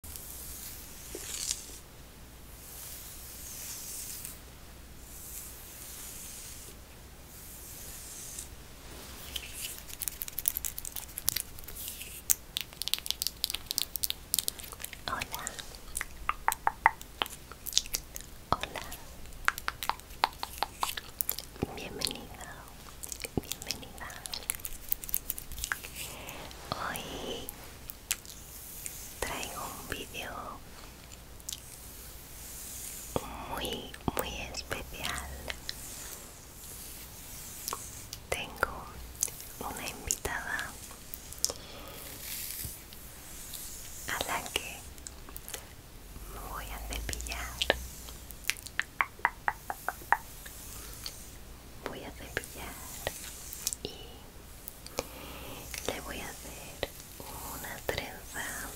Hola. Hola. Bienvenido. Bienvenida. Hoy traigo un vídeo muy muy especial tengo una invitada a la que me voy a cepillar voy a cepillar y le voy a hacer una trenza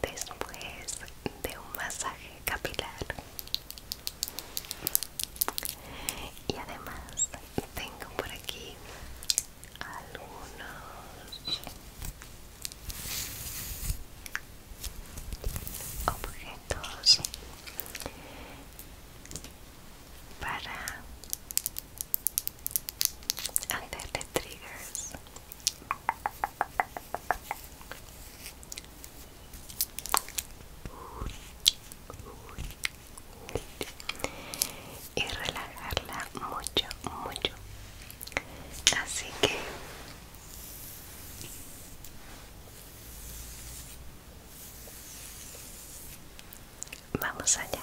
después de un masaje capilar y además tengo por aquí algunos objetos para hacerle triggers y relajarla mucho mucho así que Vamos allá.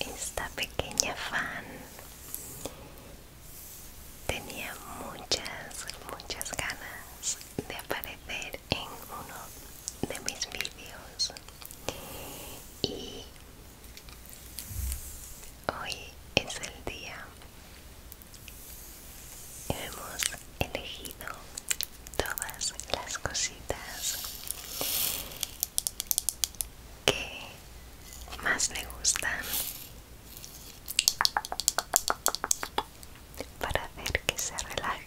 Esta pequeña fan tenía muchas, muchas ganas de aparecer en uno de mis vídeos y Hoy es el día. Hemos elegido todas las cositas que más le gustan para hacer que se relaje.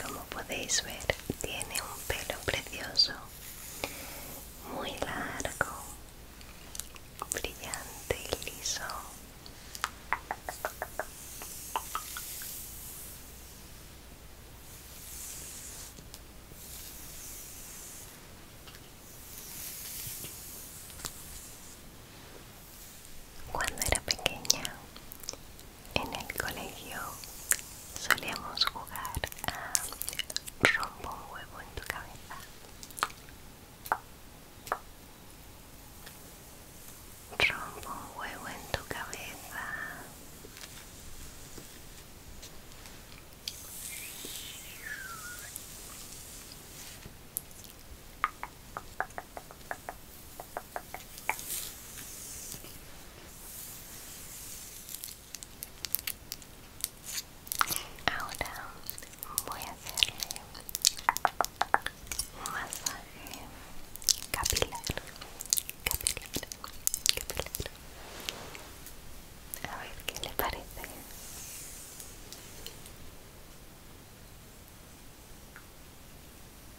Como podéis ver, tiene un pelo precioso, muy largo, brillante y liso. Cuando era pequeña, en el colegio solíamos jugar a rompo un huevo en tu cabeza. Rompo un huevo en tu cabeza. Ahora voy a hacerle un masaje capilar, capilar, capilar. A ver qué le parece.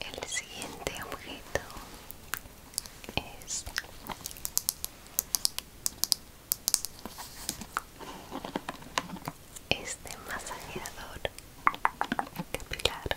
El siguiente objeto es este masajeador capilar.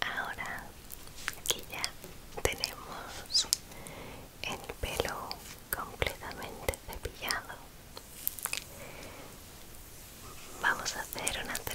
Ahora aquí ya tenemos el pelo completamente cepillado Vamos a hacer una trenza.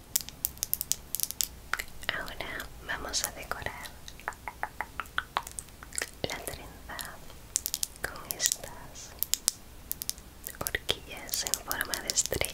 Ahora vamos a decorar la trenza con estas horquillas en forma de estrella.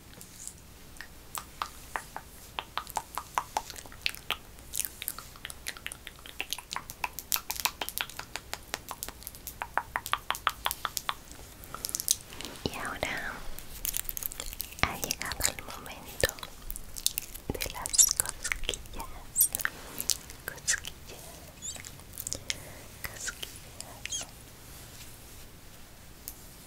Y ahora ha llegado el momento de las cosquillas,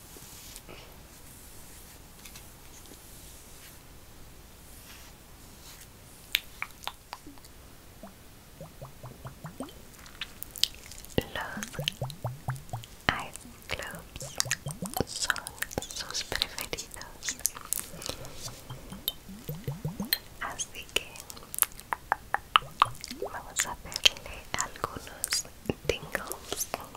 Los ice clubs son sus preferidos, así que vamos a verle algunos tingles.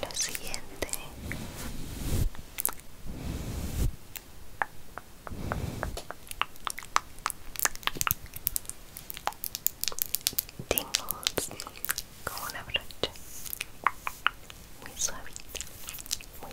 Lo siguiente tingles con una brocha muy suavita, muy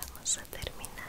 Vamos a terminar.